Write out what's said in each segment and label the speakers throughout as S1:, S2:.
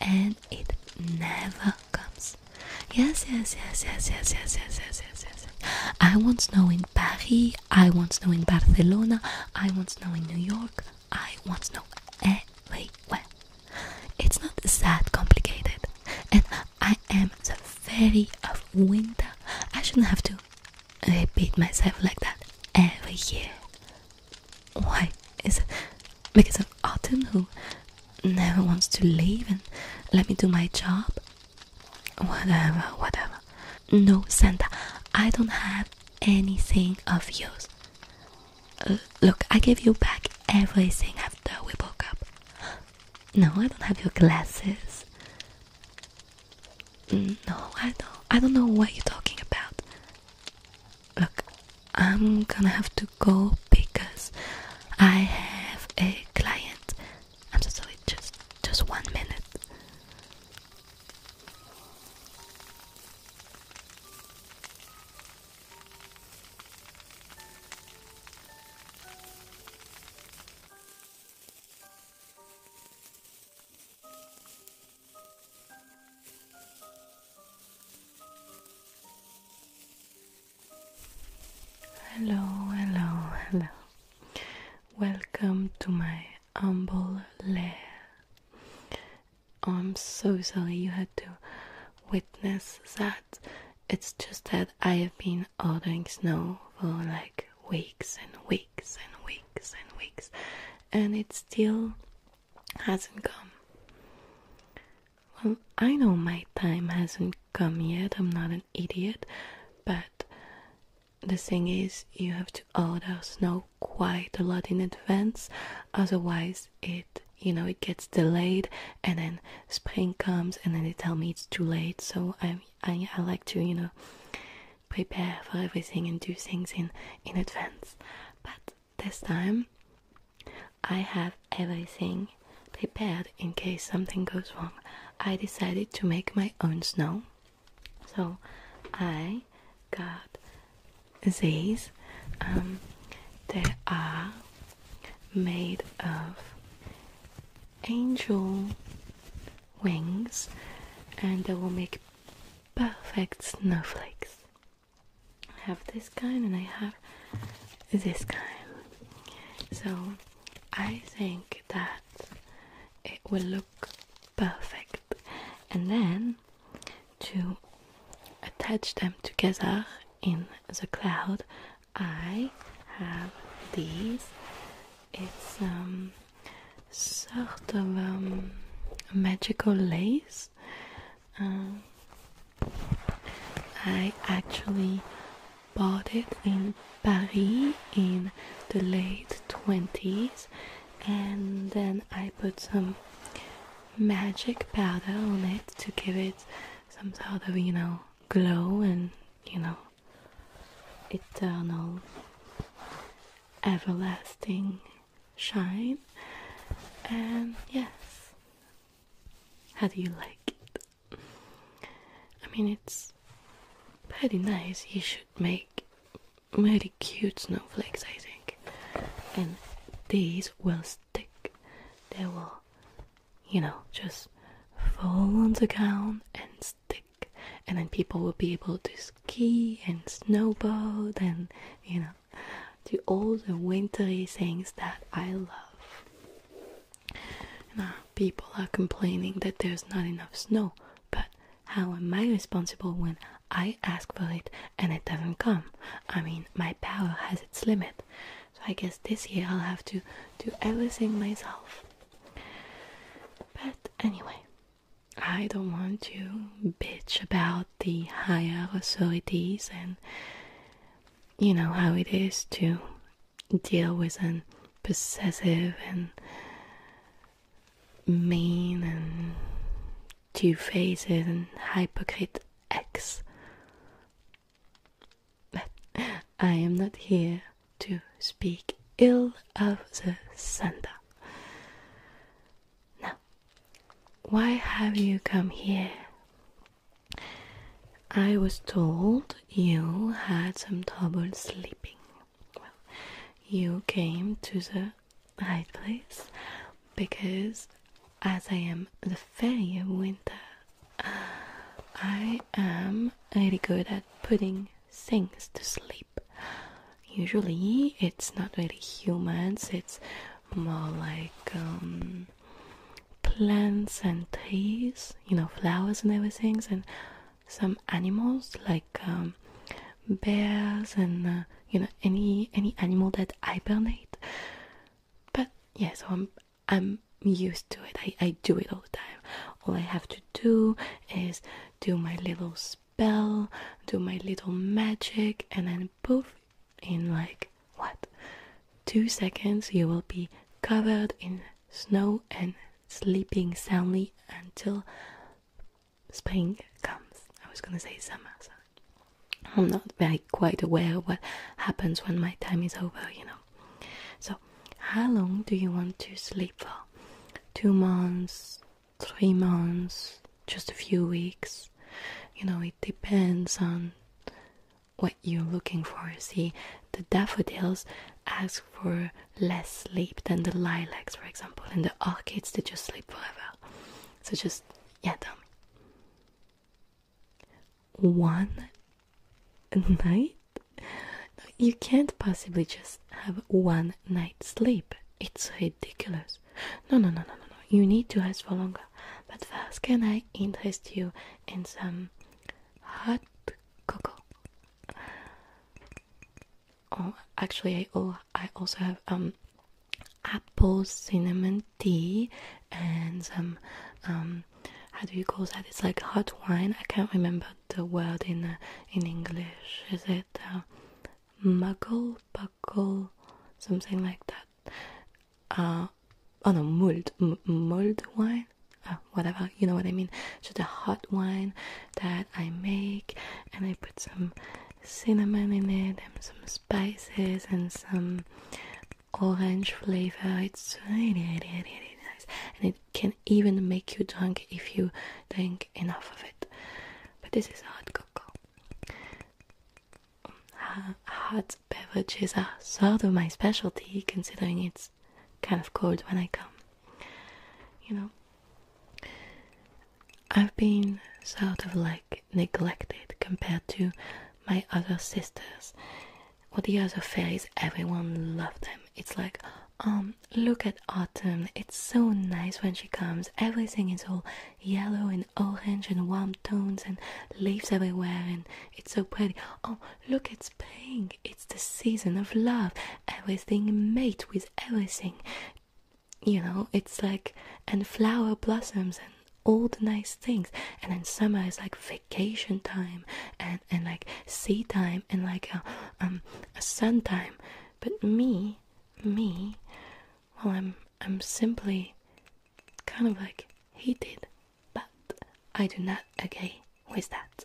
S1: and it never comes. Yes, yes, yes, yes, yes, yes, yes, yes, yes, yes. I want snow in Paris, I want snow in Barcelona, I want snow in New York, I want snow everywhere. It's not that complicated, and I am the fairy of winter. I shouldn't have to repeat myself like that every year. Why is it because of am Autumn who never wants to leave and let me do my job. Whatever, whatever. No, Santa, I don't have anything of yours. Uh, look, I gave you back everything after we broke up. No, I don't have your glasses. No, I don't. I don't know what you're talking about. Look, I'm gonna have to go because I have a client. I'm sorry, just just one minute. Hello, hello, hello. Welcome to my humble lair. Oh, I'm so sorry you had to witness that. It's just that I have been ordering snow for like weeks and weeks and weeks and weeks, and it still hasn't come. Well, I know my time hasn't come yet, I'm not an idiot, but the thing is, you have to order snow quite a lot in advance, otherwise, it you know, it gets delayed, and then spring comes, and then they tell me it's too late. So I, I, I like to, you know, prepare for everything and do things in in advance. But this time, I have everything prepared in case something goes wrong. I decided to make my own snow. So I got these. Um, they are made of angel wings and they will make perfect snowflakes. I have this kind and I have this kind. So I think that it will look perfect. And then to attach them together in the cloud, I have these. It's um, sort of um, magical lace um, I actually bought it in Paris in the late 20s and then I put some magic powder on it to give it some sort of, you know, glow and, you know, eternal, everlasting shine. And yes, how do you like it? I mean, it's pretty nice. You should make really cute snowflakes, I think. And these will stick. They will, you know, just fall on the ground and stick. And then people will be able to ski and snowboard and, you know, to all the wintry things that I love. Now, people are complaining that there's not enough snow, but how am I responsible when I ask for it and it doesn't come? I mean, my power has its limit. So I guess this year I'll have to do everything myself. But anyway, I don't want to bitch about the higher authorities and you know how it is to deal with an possessive and mean and two-faced and hypocrite ex. I am not here to speak ill of the Santa. Now, why have you come here? I was told you had some trouble sleeping. Well, you came to the right place because, as I am the fairy winter, uh, I am really good at putting things to sleep. Usually, it's not really humans, it's more like um, plants and trees, you know, flowers and everything, and some animals like um, bears and uh, you know any any animal that hibernate. But yeah, so I'm I'm used to it. I I do it all the time. All I have to do is do my little spell, do my little magic, and then and poof, in like what? Two seconds, you will be covered in snow and sleeping soundly until spring comes. I was gonna say summer, so I'm not very quite aware what happens when my time is over, you know. So, how long do you want to sleep for? Two months, three months, just a few weeks. You know, depends on what you're looking for. See, the daffodils ask for less sleep than the lilacs, for example, and the orchids they just sleep forever. So just yeah, tell One night? you can't possibly just have one night sleep. It's ridiculous. No, no, no, no, no, no. You need to ask for longer. But first, can I interest you in some hot cocoa? Oh, actually, I oh, I also have um apple cinnamon tea and some um how do you call that? It's like hot wine. I can't remember the word in uh, in English. Is it uh, muggle? charcoal, something like that. Uh, oh no, mulled, mulled wine, ah, whatever, you know what I mean. So the hot wine that I make, and I put some cinnamon in it, and some spices, and some orange flavor. It's really, really, really nice, and it can even make you drunk if you drink enough of it. But this is hot cocoa. Hot beverages are sort of my specialty, considering it's kind of cold when I come. You know, I've been sort of like neglected compared to my other sisters or the other fairies. Everyone loved them. It's like, um, look at Autumn. It's so nice when she comes. Everything is all yellow and orange and warm tones and leaves everywhere and it's so pretty. Oh, look, it's pink. It's the season of love. Everything mate with everything. You know, it's like and flower blossoms and all the nice things. And then summer is like vacation time and and like sea time and like a um a sun time. But me, me, well, I'm I'm simply kind of like heated, but I do not agree with that.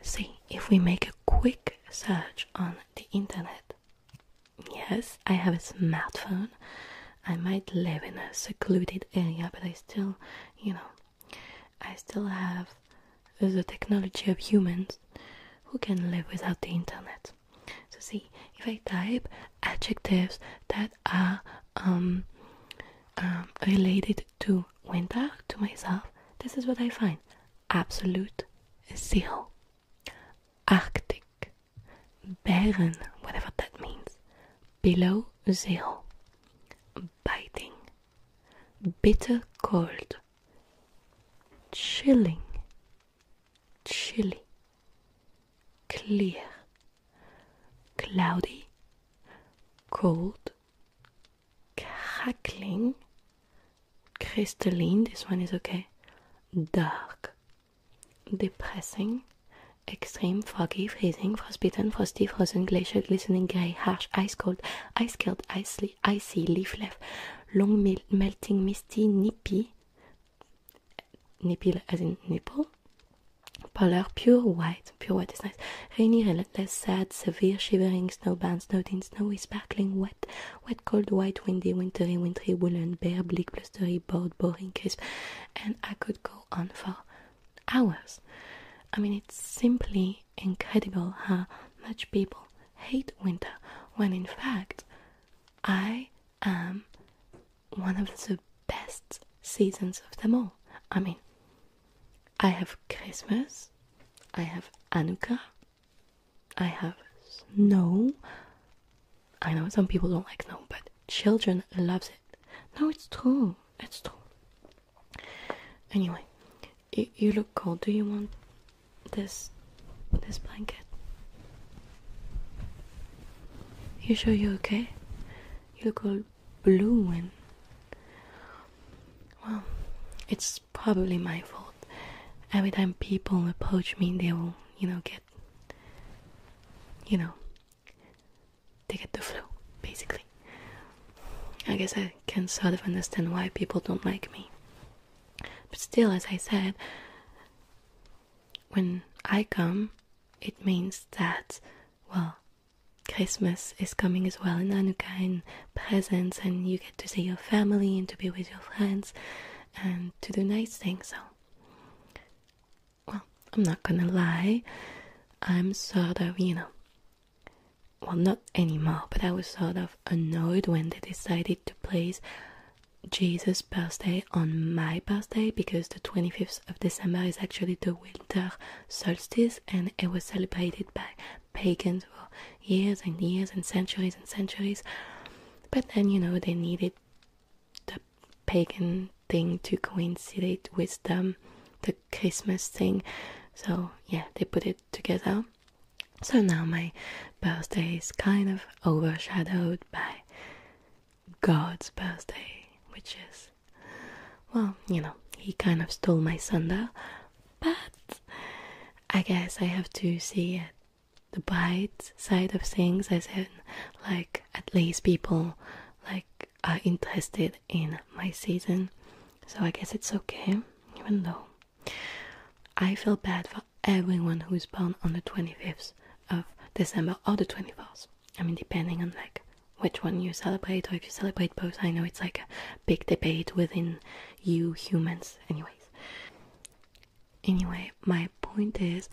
S1: See, if we make a quick search on the internet, yes, I have a smartphone. I might live in a secluded area, but I still, you know, I still have the technology of humans who can live without the internet. So see, if I type adjectives that are um, um, related to winter, to myself, this is what I find. Absolute zero. Arctic. Barren, whatever that means. Below zero. Biting. Bitter cold. Chilling chilly, clear, cloudy, cold, crackling, crystalline, this one is okay, dark, depressing, extreme, foggy, freezing, frostbitten, frosty, frozen, glacier, glistening, grey, harsh, ice cold, ice cold. icy, icy, leaf left, long, melting, misty, nippy, Nipil as in nipple. Polar, pure white. Pure white is nice. Rainy, relentless, sad, severe, shivering, snowbound, snowed in, snowy, sparkling, wet, wet, cold, white, windy, wintry, wintry, woolen, bare, bleak, blustery, bored, boring, crisp. And I could go on for hours. I mean, it's simply incredible how much people hate winter when in fact I am one of the best seasons of them all. I mean, I have Christmas, I have Anuka, I have snow. I know some people don't like snow, but children loves it. No, it's true. It's true. Anyway, you look cold. Do you want this this blanket? You sure you're okay? You look all blooming. Well, it's probably my fault. Every time people approach me, they will, you know, get, you know, they get the flu, basically. I guess I can sort of understand why people don't like me. But still, as I said, when I come, it means that, well, Christmas is coming as well, and Hanukkah, and presents, and you get to see your family and to be with your friends and to do nice things. So, well, I'm not gonna lie, I'm sort of, you know, well, not anymore, but I was sort of annoyed when they decided to place Jesus' birthday on my birthday because the 25th of December is actually the winter solstice and it was celebrated by pagans for years and years and centuries and centuries. But then, you know, they needed the pagan thing to coincide with them, the Christmas thing. So, yeah, they put it together. So now my birthday is kind of overshadowed by God's birthday, which is, well, you know, he kind of stole my Sunday, but I guess I have to see it the bright side of things as in like at least people like are interested in my season so i guess it's okay even though i feel bad for everyone who is born on the 25th of December or the 24th. I mean, depending on like which one you celebrate or if you celebrate both. I know it's like a big debate within you humans, anyways. Anyway, my point is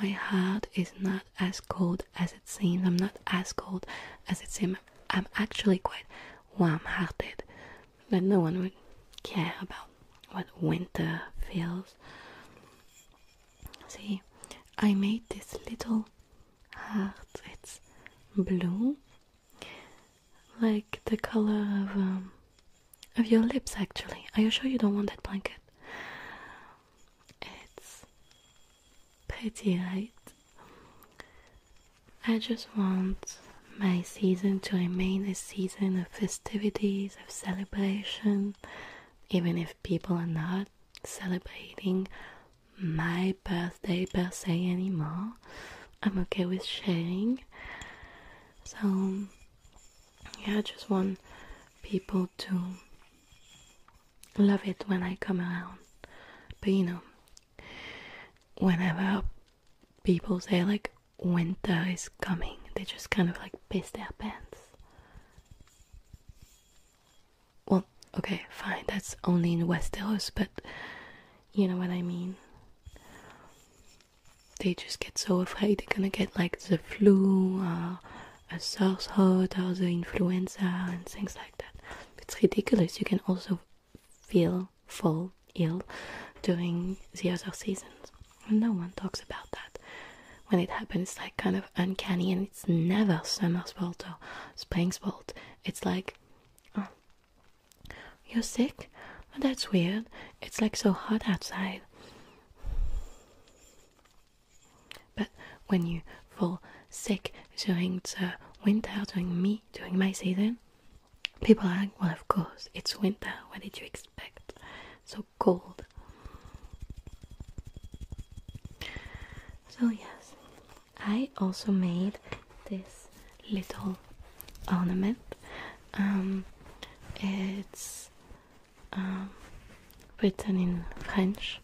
S1: my heart is not as cold as it seems. I'm not as cold as it seems. I'm actually quite warm hearted. That no one would care about what winter feels. See, I made this little heart. It's blue, like the color of um, of your lips. Actually, are you sure you don't want that blanket? It's pretty, right? I just want my season to remain a season of festivities, of celebration, even if people are not celebrating my birthday per se anymore. I'm okay with sharing. So, yeah, I just want people to love it when I come around. But you know, whenever people say like winter is coming, they just kind of like piss their pants. Well, okay, fine, that's only in West Hills, but you know what I mean. They just get so afraid they're gonna get like the flu, or uh, a sore throat, or the influenza, and things like that. It's ridiculous. You can also feel, fall ill during the other seasons. No one talks about that. When it happens, it's like kind of uncanny, and it's never summer's fault or spring's fault. It's like, oh, you're sick? Oh, that's weird. It's like so hot outside. But when you fall sick during the winter, during me, during my season, people are like, well, of course, it's winter. What did you expect? So Gold. So, yes, I also made this little ornament. Um, it's um, written in French.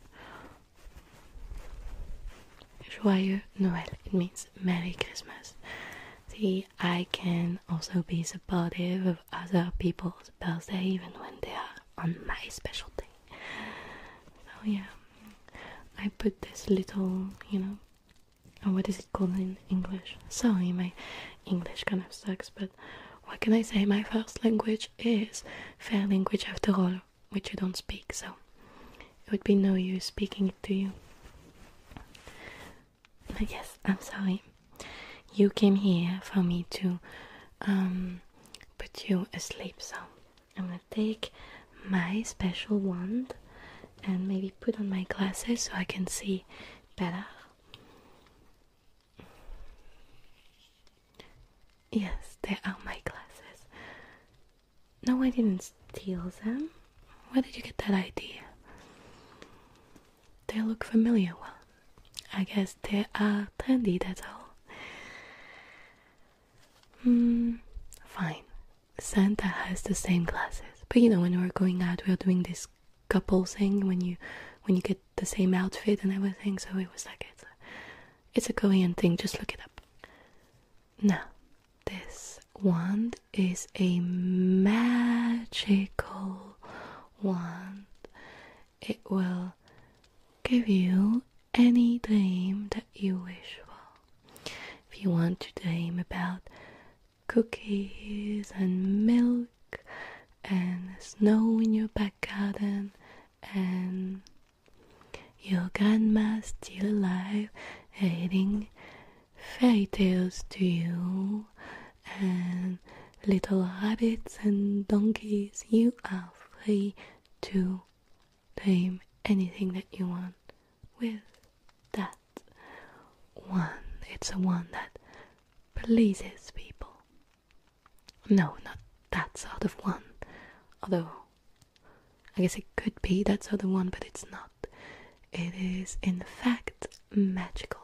S1: Joyeux Noël. It means Merry Christmas. See, I can also be supportive of other people's birthday even when they are on my special day. So yeah, I put this little, you know, oh, what is it called in English? Sorry, my English kind of sucks, but what can I say? My first language is fair language after all, which you don't speak, so it would be no use speaking it to you. I guess I'm sorry. You came here for me to um, put you asleep, so I'm gonna take my special wand and maybe put on my glasses so I can see better. Yes, there are my glasses. No, I didn't steal them. Where did you get that idea? They look familiar. Well, I guess they are trendy, that's all. Hmm, fine. Santa has the same glasses. But you know, when we're going out, we're doing this couple thing when you when you get the same outfit and everything. So it was like it's a, it's a Korean thing. Just look it up. Now, this wand is a magical wand it will give you any dream that you wish for. If you want to dream about cookies and milk and snow in your back garden and your grandma still alive reading fairy tales to you and little rabbits and donkeys. You are free to tame anything that you want with that one. It's a one that pleases people. No, not that sort of one. Although, I guess it could be that sort of one, but it's not. It is, in fact, magical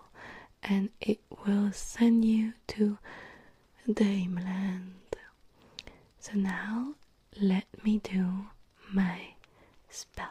S1: and it will send you to Dameland. So now let me do my spell.